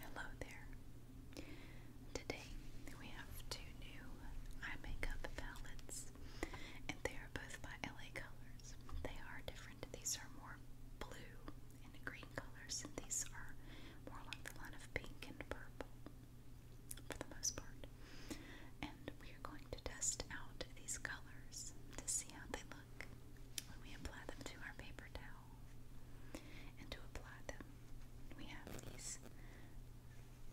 Hello there. Today we have two new eye makeup palettes, and they are both by LA Colors. They are different. These are more blue and green colors, and these are more along the line of pink and purple for the most part. And we are going to test out these colors to see how they look when we apply them to our paper towel. And to apply them, we have these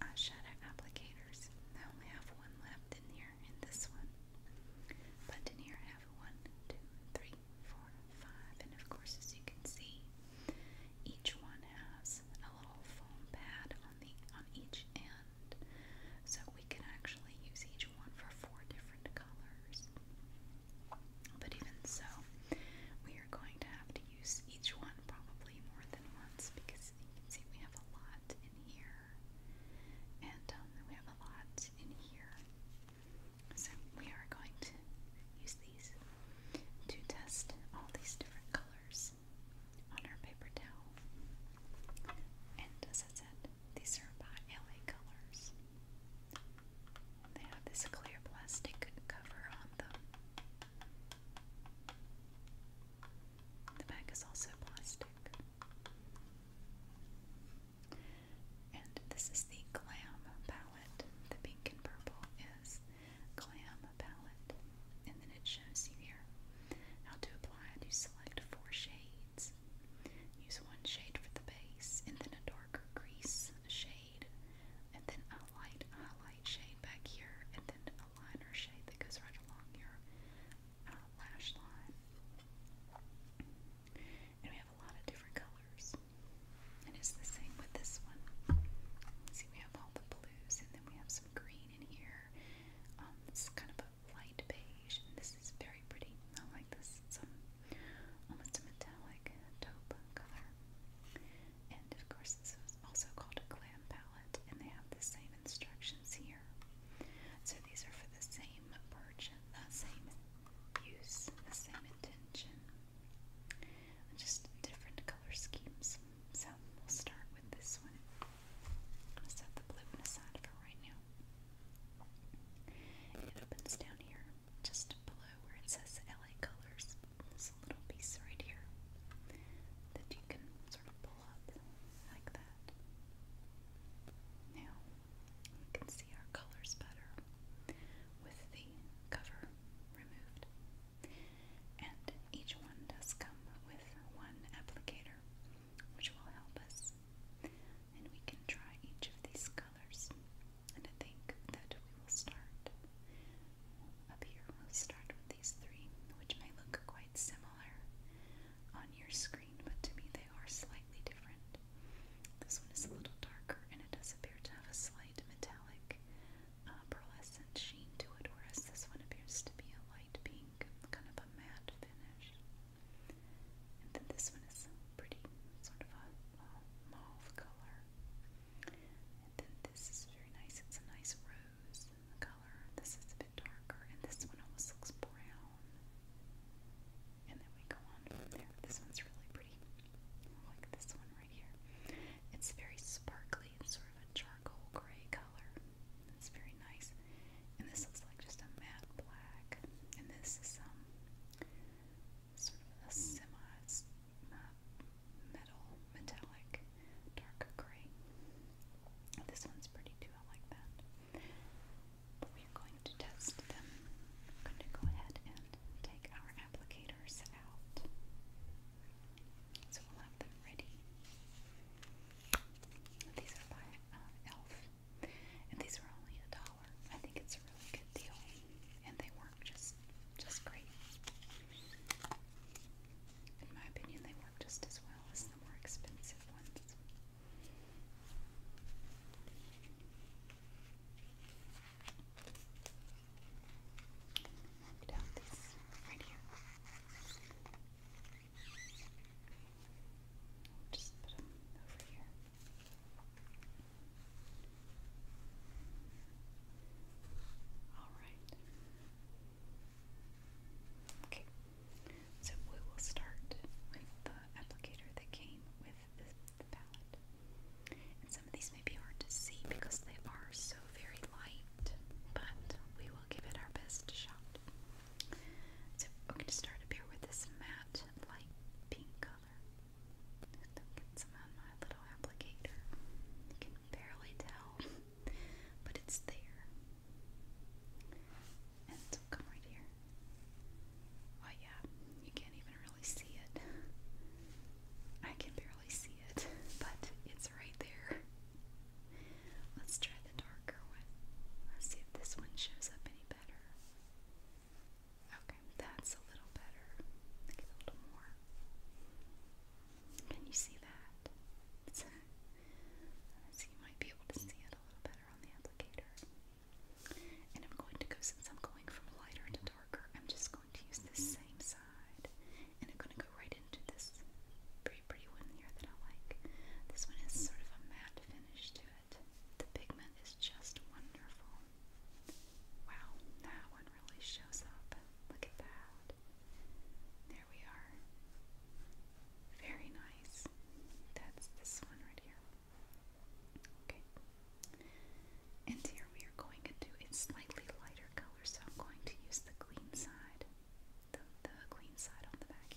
eyeshadow uh, applicators. I only have one left in here in this one. But in here I have one, two, three, four, five, and of course as you can see, each one has a little foam pad on the on each end. So we can actually use each one for four different colors. But even so, we are going to have to use each one probably more than once because you can see we have a lot in here, and um, we have a lot in here. So we are going to use these to test all these different colors on our paper towel. And as I said, these are by LA Colors. They have this clear plastic cover on them. The back is also plastic. And this is the Glam palette. The pink and purple is Glam palette. And then it shows you here how to apply it. You select four shades. Use one shade for the base, and then a darker crease shade, and then a light highlight shade back here, and then a liner shade that goes right along your uh, lash line. And we have a lot of different colors. And it's the same with this one. See, we have all the blues, and then we have some green in here. Um, it's kind of a light beige, this is very pretty. I like this. It's um, almost a metallic taupe color. And of course, this is also called a glam palette, and they have the same instructions here. So these are for the same purchase, the same use, the same intention, just different color schemes. So we'll start with this one. I'm gonna set the blue one aside for right now. It opens down here, just below where it says LA Colors. This little piece right here that you can sort of pull up like that. Now we can see our colors better with the cover removed. And each one does come with one applicator, which will help us and we can try each of these colors. And I think that we will start up here. We'll start with these three, which may look quite similar on your screen, but to me they are slightly different. This one is a little darker, and it does appear to have a slight metallic uh, pearlescent sheen to it, whereas this one appears to be a light pink, kind of a matte finish then this one is pretty, sort of a, mauve color. then this is very nice. It's a nice rose color. This is a bit darker, and this one almost looks brown. And then we go on from there. This one's really pretty. like this one right here. It's very sparkly. It's sort of a charcoal gray color. It's very nice. And this looks like just a matte black. And this is some um, sort of a semi uh, metal, metallic, dark gray. This one's pretty too, I like that. But we're going to test them. I'm going to go ahead and take our applicators out. So we'll have them ready. These are by uh, e.l.f. And these are only a dollar. I think it's a really good deal. And they work just just great. In my opinion, they work just as well as the more expensive ones. Marked out these right here. All right. Okay, so we will start with the applicator that came with the palette. And some of these may be hard to see because they are so very light, but we will give it our best shot. So we're going to start up here with this matte light, pink color. It's on my little applicator. You can barely tell, but it's there. And it'll come right here. Oh yeah, you can't even really see it. I can barely see it, but it's right there. Let's try the darker one. Let's see if this one shows up Okay, that's a little better. a little more. Can you see that? so you might be able to see it a little better on the applicator. And I'm going to go, since I'm going from lighter to darker, I'm just going to use the same side. And I'm going to go right into this pretty, pretty one here that I like. This one has sort of a matte finish to the pigment is just wonderful. Wow, that one really shows up. Look at that. There we are. Very nice. That's this one right here. Okay. And here we are going into a slightly lighter color, so I'm going to use the green side, the, the side on the back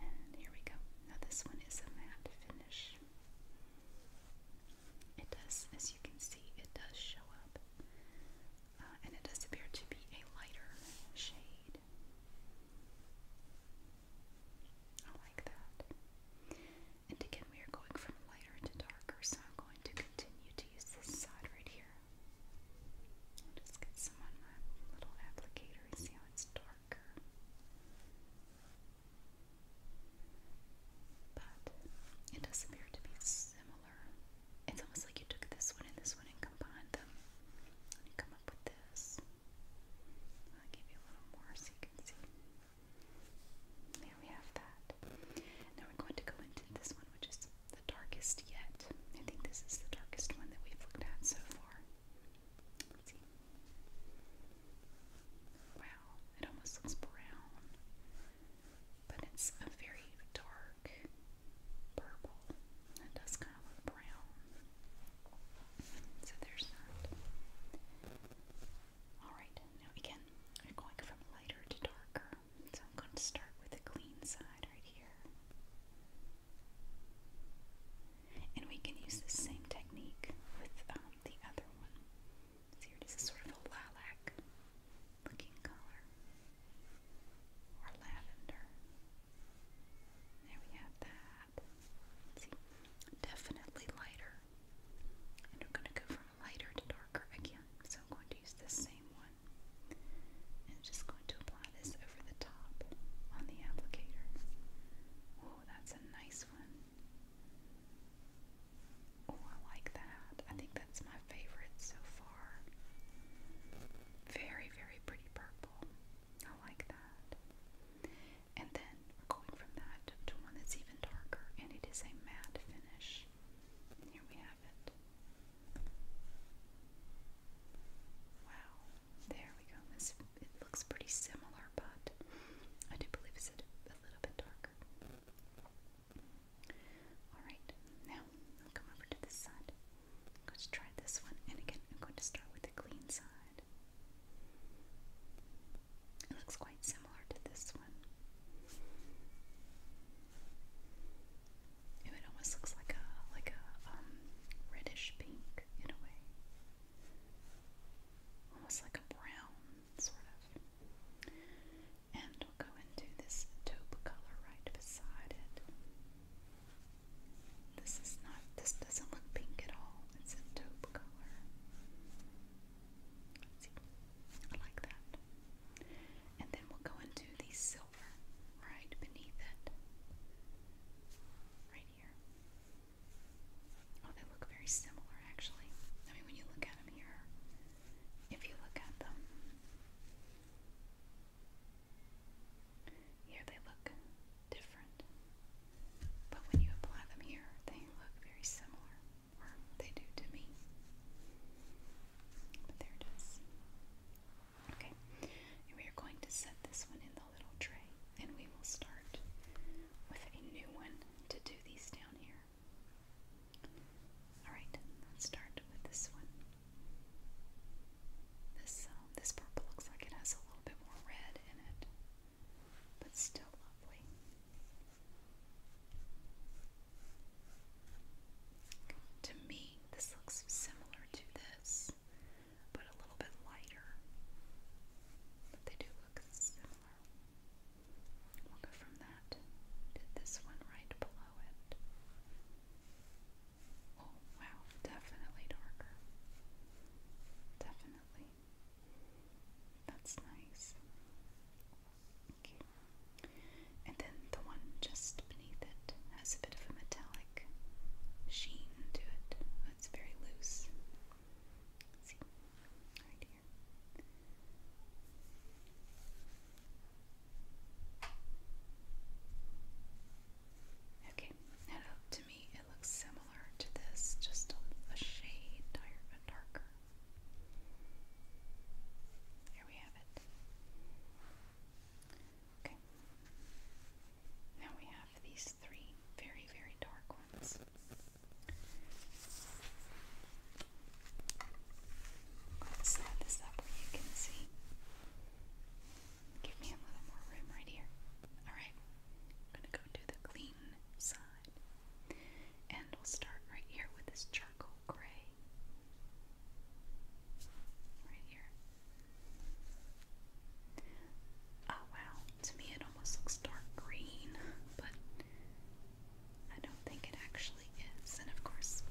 and here we go. Now this one is a matte finish. It does, as you can see, it does show up. Uh, and it does appear to be a lighter shade. I like that. And again, we are going from lighter to darker, so I'm going to continue to use this side right here just get some on my little applicator and see how it's darker. But it does appear to be similar. It's almost like you took this one and this one and combined them. And come up with this. I'll give you a little more so you can see. There we have that. Now we're going to go into this one, which is the darkest yet. I think this is the darkest one that we've looked at so far. Wow, it almost looks brown, but it's a very dark purple. It does kind of look brown. So there's that. Alright, now again, I'm going from lighter to darker. So I'm going to start with the clean side right here. And we can use the same technique with um, the other one. So here it is sort of a lilac looking color or lavender. There we have that. see, definitely lighter. And we're going to go from lighter to darker again. So I'm going to use this same one. And just going to apply this over the top on the applicator. Oh, that's a nice one. Oh, I like that. I think that's my favorite so far. Very, very pretty purple. I like that. And then we're going from that to one that's even darker, and it is a matte finish. Here we have it. Wow, there we go. it looks pretty similar, but I do believe it's a, little bit darker. All right, now I'll come over to this side. I'm try this one, and again, I'm going to start with the clean side. It looks quite similar to this one it almost looks like a like a um, reddish pink in a way, almost like a brown sort of. And we'll go into this taupe color right beside it. This is not. This doesn't look pink at all. It's a taupe color. I like that. And then we'll go into the silver right beneath it. Right here. Oh, they look very similar actually. I mean, when you look at them here, if you look at them, here they look different. But when you apply them here, they look very similar, or they do to me. But there it is. Okay, and we are going to set this one in the little tray, and we will start with a new one to do these down here. Alright, let's start with this one. This, um, this purple looks like it has a little bit more red in it, but still lovely. To me, this looks similar to this but a little bit lighter. But they do look similar. We'll go from that this one right below it. Oh, wow, definitely darker. Definitely. That's nice. Okay. And then the one just beneath it has a bit of a metallic like sheen to it. Oh, it's very loose. Okay, to me it looks similar to this, just a, a shade darker. There we have it. Okay. Now we have these three very, very dark ones. Let's slide this up where you can see. Give me a little more room right here. Alright, I'm gonna go to the clean side. And we'll start right here with this charcoal gray. Right here. Oh wow, to me it almost looks dark green, but I don't think it actually is. And of course,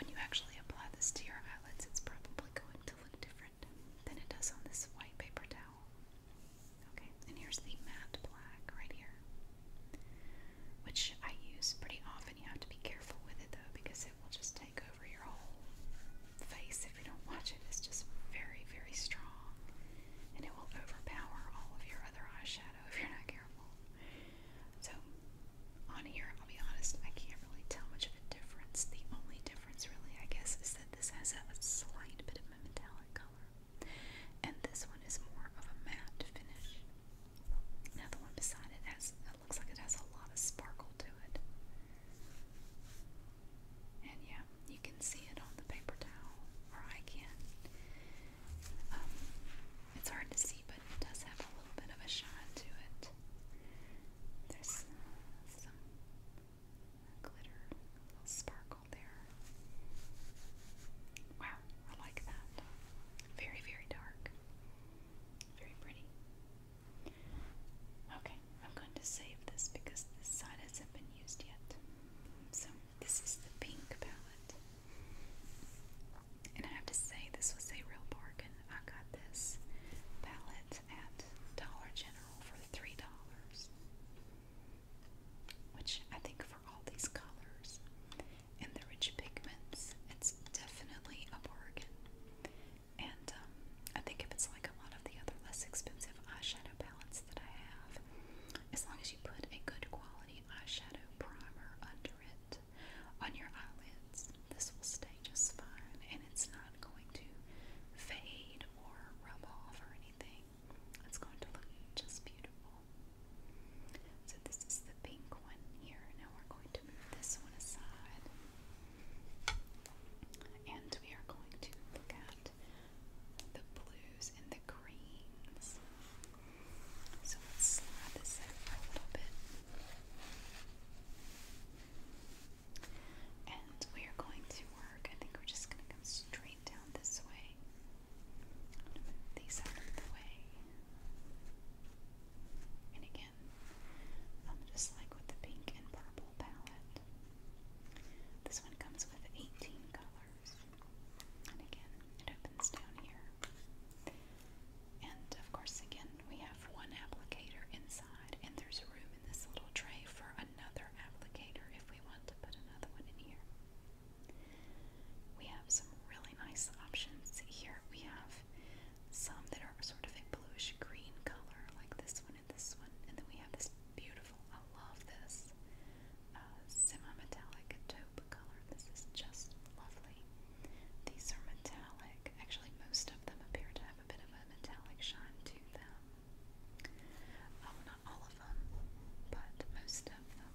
when you actually apply this to your eyelids, it's probably going to look different than it does on this white paper towel. Okay, and here's the matte black right here, which I use pretty often. You have to be careful with it though, because it will just take over your whole face if you don't watch it. It's just very, very strong and it will overpower all of your other eyeshadow if you're not careful. So, on here, I'll be honest, I can't really tell much of a difference. The only difference, really, I guess, is that this has a slight bit of a metallic color and this one is more of a matte finish. Now, the one beside it has it looks like it has a lot of sparkle to it. And yeah, you can see it on the paper towel, or I can. Um, it's hard to see, but it does have a little bit of a shine to it. There's some glitter, sparkle there. Wow, I like that. Very, very dark. Very pretty. Okay, I'm going to save this because this side hasn't been used yet. So, this is the pink palette. And I have to say, this was a real bargain. I got this palette at Dollar General for $3. Which I think for all these colors, and the rich pigments. It's definitely a bargain. And um, I think if it's like a lot of the other less expensive eyeshadow palettes that I have, as long as you put a good quality eyeshadow primer under it on your eyelids, this will stay just fine and it's not going to fade or rub off or anything. It's going to look just beautiful this is the pink one here. Now we're going to move this one aside. And we are going to look at the blues and the greens. So let's slide this over a little bit. And we are going to work, I think we're just going to come straight down this way. these out of the way. And again, um, just like with the pink and purple palette. This one comes with 18 colors. And again, it opens down here. And of course, again, we have one applicator inside, and there's a room in this little tray for another applicator if we want to put another one in here. We have some really nice options here. We have some that are sort of a bluish green color, like this one and this one. And then we have this beautiful, I love this uh, semi metallic taupe color. This is just lovely. These are metallic. Actually, most of them appear to have a bit of a metallic shine to them. Oh, not all of them, but most of them.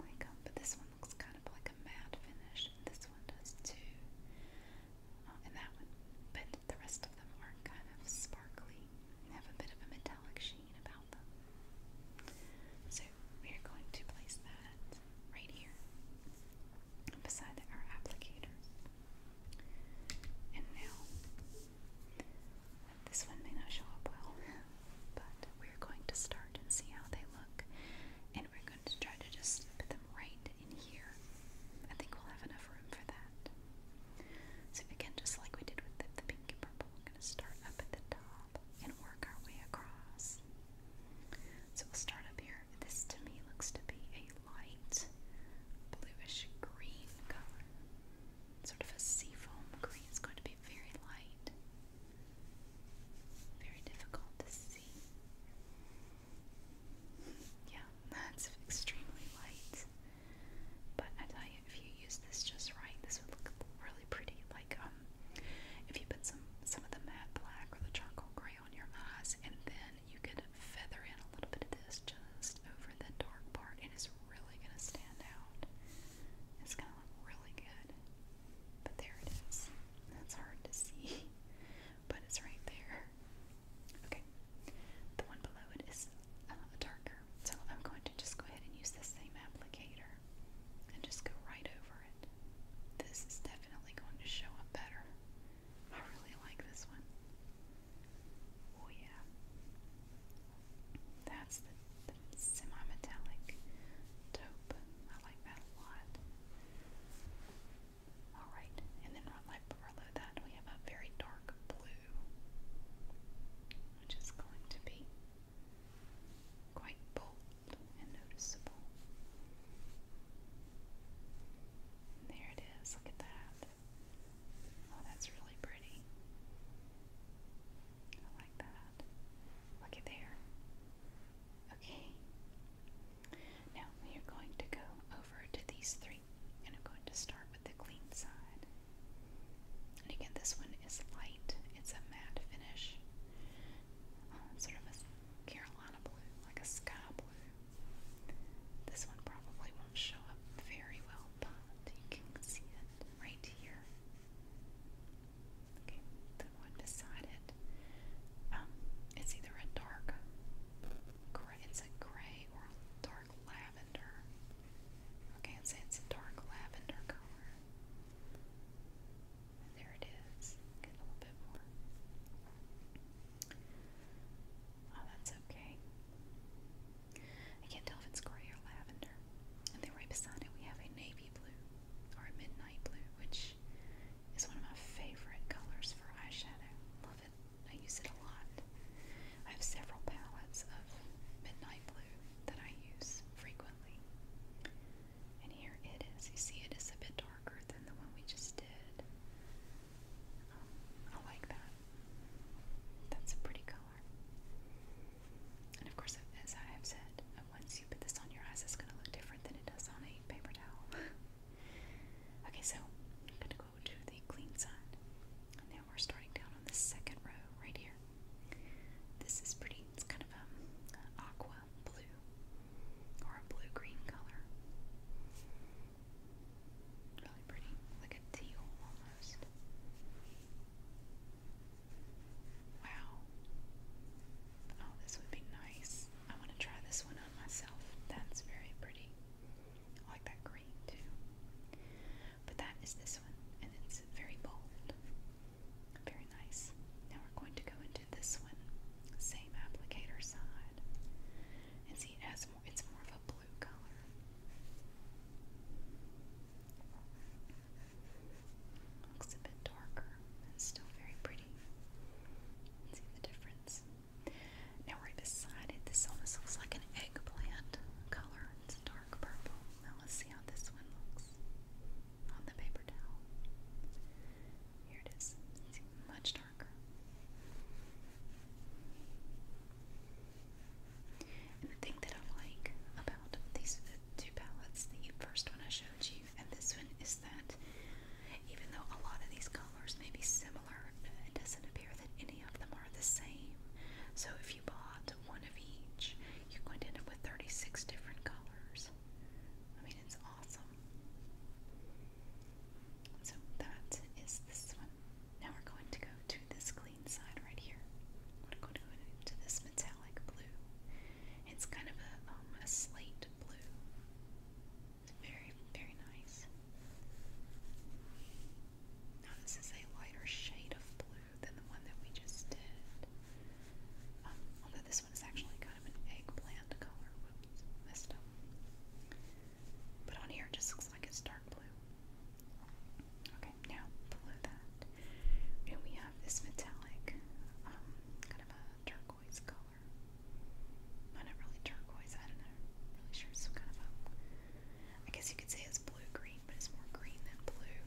Like, um, but this one looks kind like a matte finish. And this one does too. Uh, and that one. But the rest of them are kind of sparkly and have a bit of a metallic sheen about them. So we are going to place that right here beside our applicators. And now, this one may not show up well, but we're going to start and see how they look. And we're going to try to just slip them right in here. I think we'll have enough room for that. So again, just like we did with the pink and purple, we're going to start up at the top and work our way across. So we'll start up here. This to me looks to be a light bluish green color. Sort of a seafoam green. It's going to be very light. Very difficult to see. Yeah, that's extremely light. But I tell you, if you use this just right, this would look really pretty. Like um, if you put some some of the matte black or the charcoal gray on your eyes, and then you could feather in a little bit of this just over the dark part, it's really gonna stand out. It's gonna look really good. But there it is. That's hard to see. but it's right there. Okay, the one below it is uh, darker, so I'm going to just go ahead and use the same applicator and just go right over it. This is definitely going to show up better. I really like this one. Oh, yeah. That's the semi metallic taupe. I like that a lot. Alright, and then right below that we have a very dark blue, which is going to be quite bold and noticeable. there it is, look at that. Oh, that's really pretty. I like that. Look at there. Okay. Now we are going to go over to these three, and I'm going to start with the clean side. And again, this one is light. It's a matte finish, um, sort of a Carolina blue, like a sky blue. This one probably won't show up very well, but you can see it right here. Okay, the one beside it. Um, it's either a dark gray, it's a gray or dark lavender. Okay, I'd say it's a dark lavender color. there it is. Get a little bit more. Oh, that's okay. I can't tell if it's gray or lavender. And then right beside it, we have a navy blue or midnight blue, which is one of my favorite colors for eyeshadow. Love it. I use it a lot. I have several palettes of midnight blue that I use frequently. And here it is. You see, it is a bit darker than the one we just did. Um, I like that. That's a pretty color. And of course, as I have said, once you put this on your eyes, it's going to look different than it does on a paper towel. okay, so I'm going to go to the clean side. now we're starting down on the second row right here. This is pretty, it's kind of um, aqua blue or a blue green color. Really pretty, like a teal almost. Wow. Oh, this would be nice. I want to try this one on myself. That's very pretty. I like that green too. But that is this one, and it's very bold. Very nice. Now we're going to go into this one, same applicator side, and see it has more. It's more of a blue color. Looks a bit darker, but it's still very pretty. See the difference? Now, right beside it, this almost looks like an eggplant color. It's dark purple. Now, let's see how this one looks on the paper towel. Here it is. It's much darker. And the thing that I like about these two palettes, the first one I showed you, and this one is that even though a lot of these colors may be similar, it doesn't appear that any of them are the same. So if you bought one of each, you're going to end up with 36 different colors. I mean, it's awesome. So that is this one. Now we're going to go to this clean side right here. We're going to go into this metallic blue. It's kind of a, um, slate blue. Very, very nice. Now, this is a lighter shade of blue than the one that we just did. Um, although this one is actually kind of an eggplant color. Whoops, messed But on here it just looks like it's dark blue. Okay, now blue that. And we have this metallic, um, kind of a turquoise color. not really turquoise, I don't know. I'm really sure it's kind of a, I guess you could say it's blue green, but it's more green than blue.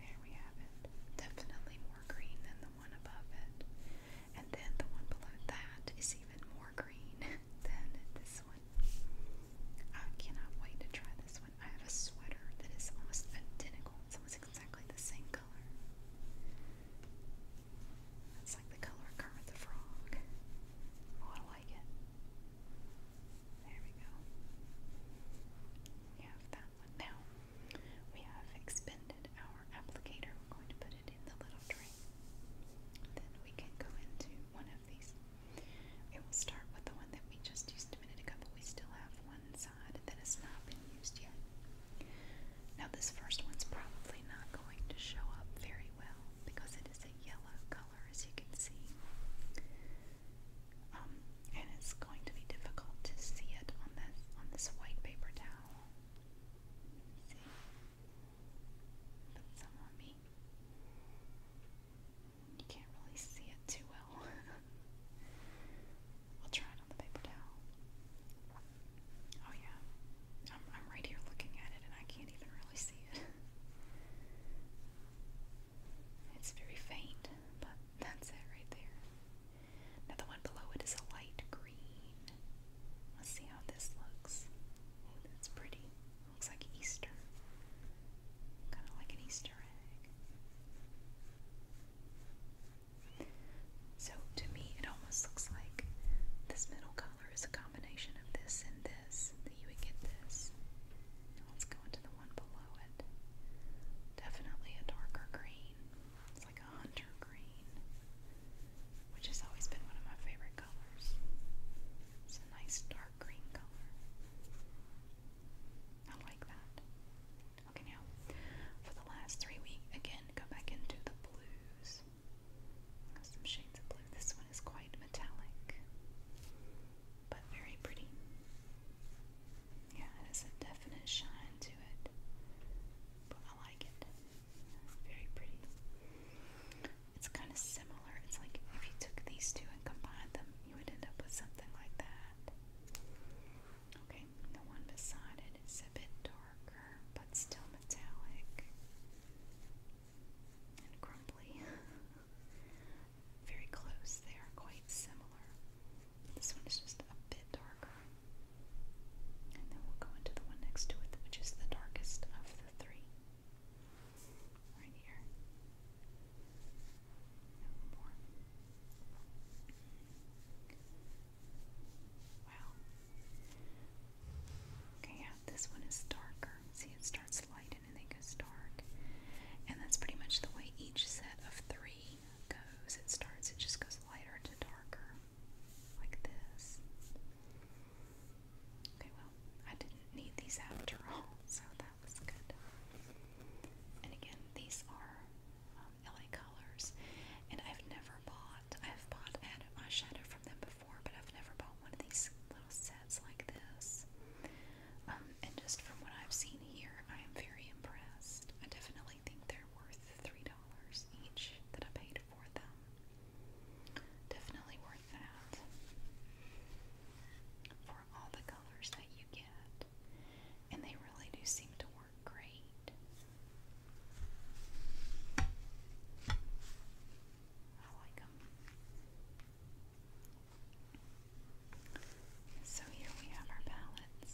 There we have it. Definitely more green than the one above it. And then the one below that is even more green. than this one. I cannot wait to try this one. I have a sweater that is almost identical. almost exactly the same color. It's like the color of Kermit the Frog. Oh, I like it. There we go. We have that one. Now, we have expended our applicator. We're going to put it in the little tray. Then we can go into one of these. Okay, will start with the one that we just used a minute ago, but we still have one side that has not been used yet. Now this first one's probably not going to show up very well because it is a yellow color as you can see. Um, and it's going to be difficult to see it on this on this white paper towel. Put some on me. You can't really see it too well. I'll try it on the paper towel. Oh yeah, I'm, I'm right here looking at it and I can't even really see it. It's very faint, but that's it right there. Now the one below it is a light green. Let's see how this looks. that's pretty. Looks like Easter. Kind of like an Easter egg. So to me, it almost looks like this middle color is a combination of this and this. That you would get this. let's go into the one below it. Definitely a darker green. It's like a hunter green, which has always been one of my favorite colors. It's a nice dark green color. I like that. Okay, now for the last three, we again go back into the blues. Some shades of blue. This one is quite metallic, but very pretty. Yeah, it has a definite shine to it, but I like it. Very pretty. It's kind of similar. It's like if you took these two and combined them, you would end up with something like that. Okay, the one beside it is a bit darker, but still metallic and crumbly. Very close, they are quite similar. This one is just a bit darker. And then we'll go into the one next to it, which is the darkest of the three. Right here. No more. Wow. Okay, yeah, this one is darker. See, it starts light and then it goes dark. And that's pretty much the way each set of three goes. It starts, it just goes lighter to darker, like this. Okay, well, I didn't need these after all, so that was good. And again, these are um, LA Colors, and I've never bought, I've bought eyeshadow from them before, but I've never bought one of these little sets like this. Um, and just from what I've seen here, I am very impressed. I definitely think they're worth $3 each that I paid for them. Definitely worth for all the colors that you get. And they really do seem to work great. I like them. So here we have our palettes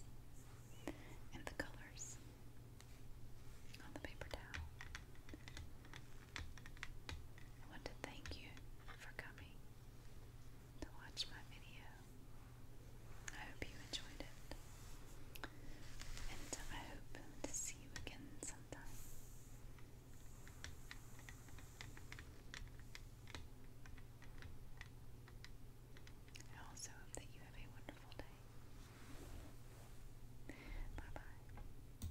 and the colors on the paper towel. I want to thank you for coming to watch my video. I hope you enjoyed it. And I hope to see you again sometime. I also hope that you have a wonderful day. Bye bye.